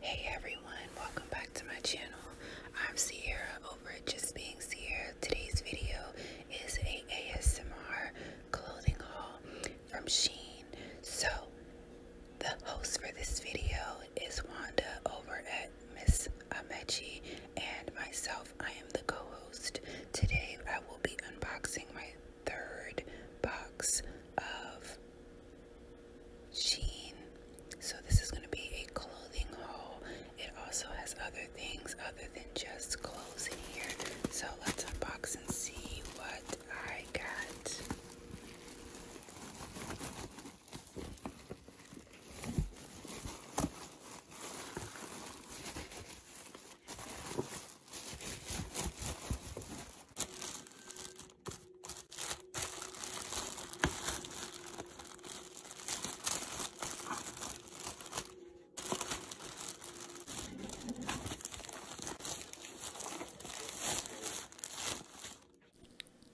Hey everyone, welcome back to my channel. I'm Sierra over Just Being Sierra. Today's video is a ASMR clothing haul from Sheen. So, the host for this video is Wanda over at Miss Amechi and myself. I am the co-host. Today, I will be unboxing my third box of Sheen. So this is going to be a clothing haul. It also has other things other than just clothes in here. So let's unbox and see what I got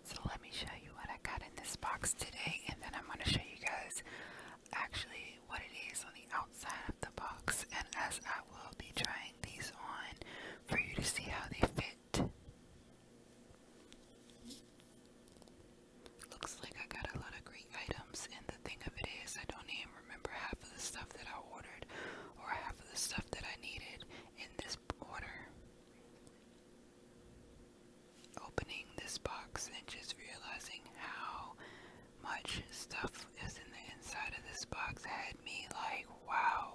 so let me show you what I got in this box today and then I'm going to show you guys actually what it is on the outside of the box and as I will be trying these on for you to see how they fit. Looks like I got a lot of great items and the thing of it is I don't even remember half of the stuff that I ordered or half of the stuff that I needed in this order. Opening this box and just realizing how much stuff is in the inside of this box had me like, wow.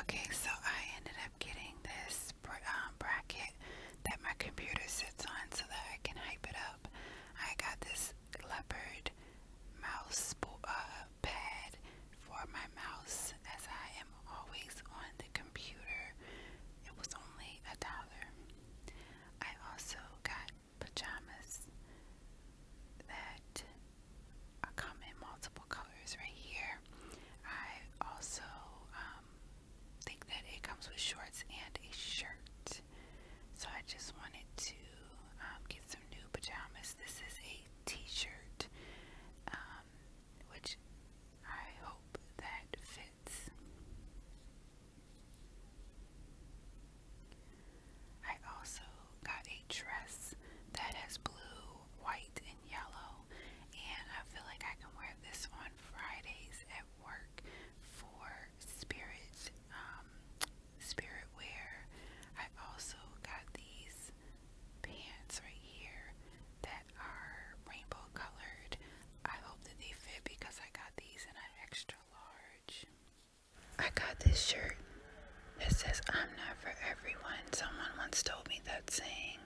Okay, so I ended up getting this um, bracket that my computer sits on so that I can hype it up. I got this leopard mouse uh, pad for my mouse as I am always on the computer. It was only a dollar. I also got pajamas that come in multiple colors right here. I also um, think that it comes with shorts and a shirt. So I just wanted to um, get some new pajamas. This is a t-shirt. Um, um, which I hope that fits. I also got a dress that has blue, white, and yellow, and I feel like I can wear this on Fridays at work for spirit, um, spirit wear. I have also got these pants right here that are rainbow colored. I hope that they fit because I got these in an extra large. I got this shirt that says I'm not for everyone. Someone once told me that saying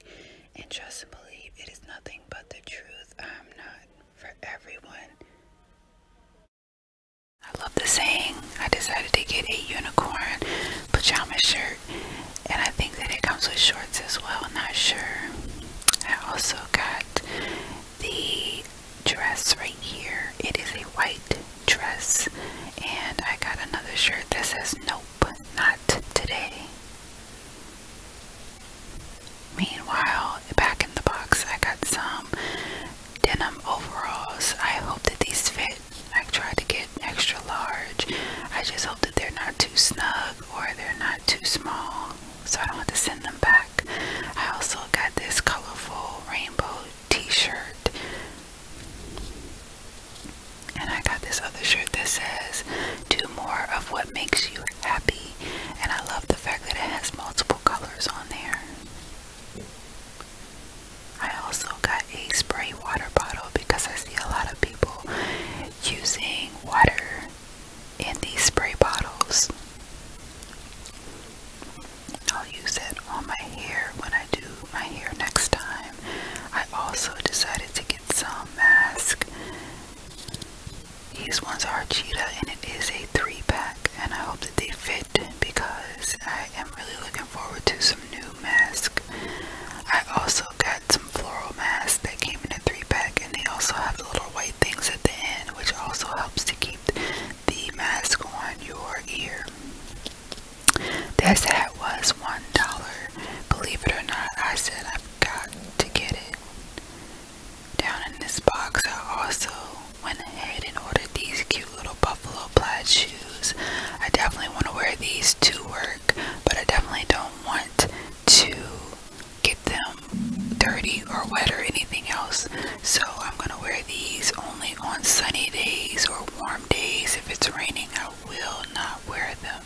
and trust and believe it is nothing but the truth. I'm not for everyone. I love the saying. I decided to get a unicorn pajama shirt and I think that it comes with shorts as well, not sure. I also got the dress right here. It is a white dress and I got another shirt that says nope, not today. Meanwhile, back in the box I got some denim overalls. I hope that these fit I try to get extra large. I just hope that they're not too snug or they're not too small so I don't have to send them back. I also got this colorful rainbow t-shirt. And I got this other shirt that says, Do more of what makes you happy. And I love the fact that it has multiple colors on there. I also got a spray water bottle because I see a lot of people using water in these spray bottles. I'll use it on my hair when I do my hair next time. I also decided to get some mask. These ones are cheetah and it is a three pack and I hope that they fit because I am really looking forward to some new masks. I also got some floral masks that came in a three pack and they also have the little white things at the end which also helps to keep the mask on your ear. This hat was one dollar. Believe it or not, I said I've got to get it. Down in this box I also went ahead and ordered these cute little buffalo plaid shoes. I definitely want to wear these to work, but I definitely don't want to get them dirty or wet or anything else. So I'm going to wear these only on sunny days or warm days. If it's raining, I will not wear them.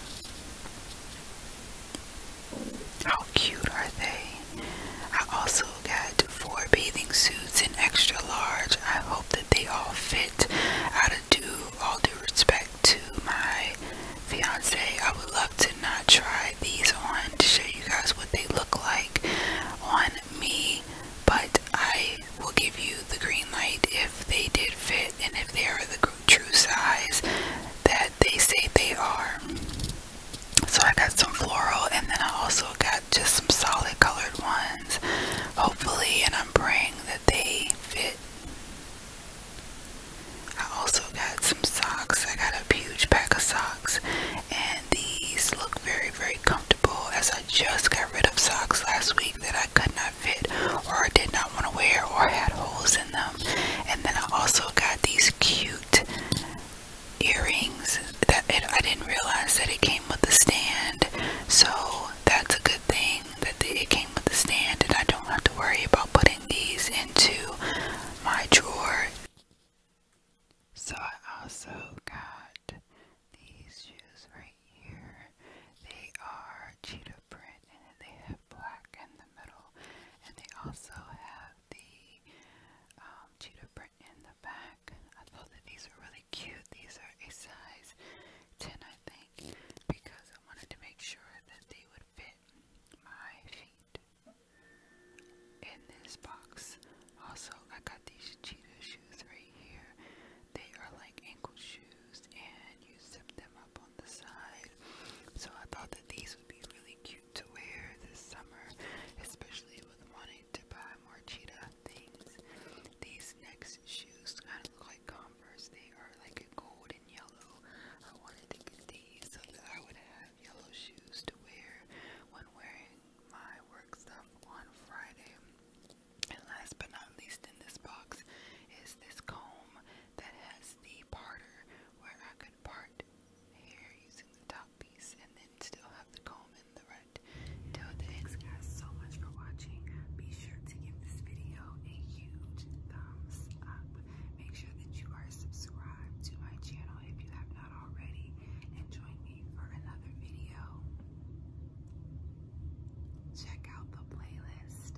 How cute are they? I also also got four bathing suits in extra large. I hope that they all fit. Out of due, all due respect to my fiance, I would love to not try these on to show you guys what they look like on me, but I will give you the green light if they did fit and if they are the true size that they say they are. So I got some floral and then I also got got just some solid colored ones. Hopefully, and I'm praying that they fit. I also got some socks. I got a huge pack of socks, and these look very, very comfortable. As I just got rid of socks last week that I could not fit, or did not want to wear, or had holes in them. And then I also got these cute earrings that it, I didn't realize that it came with a stand so that's a good thing that it came with a stand and I don't have to worry about putting these into my drawer so I also got these shoes right here they are cheetah print and they have black in the middle and they also have the um, cheetah print in the back. I thought that these were really cute. These are a size 10, I think, because I wanted to make sure that they would fit my feet in this box. Also, I got these cheetah shoes right here. They are like ankle shoes, and you zip them up on the side. So I thought that these would be really cute cute to wear this summer, especially with wanting to buy more cheetah things. These next shoes kind of look like Converse. They are like a gold and yellow. I wanted to get these so that I would have yellow shoes to wear when wearing my work stuff on Friday. And last but not least in this box is this comb that has the parter where I part here using the top piece and then still have the comb in the red till the Thanks guys so much for watching. Be sure to give this video a huge thumbs up. Make sure that you are subscribed to my channel if you have not already and join me for another video. Check out the playlist.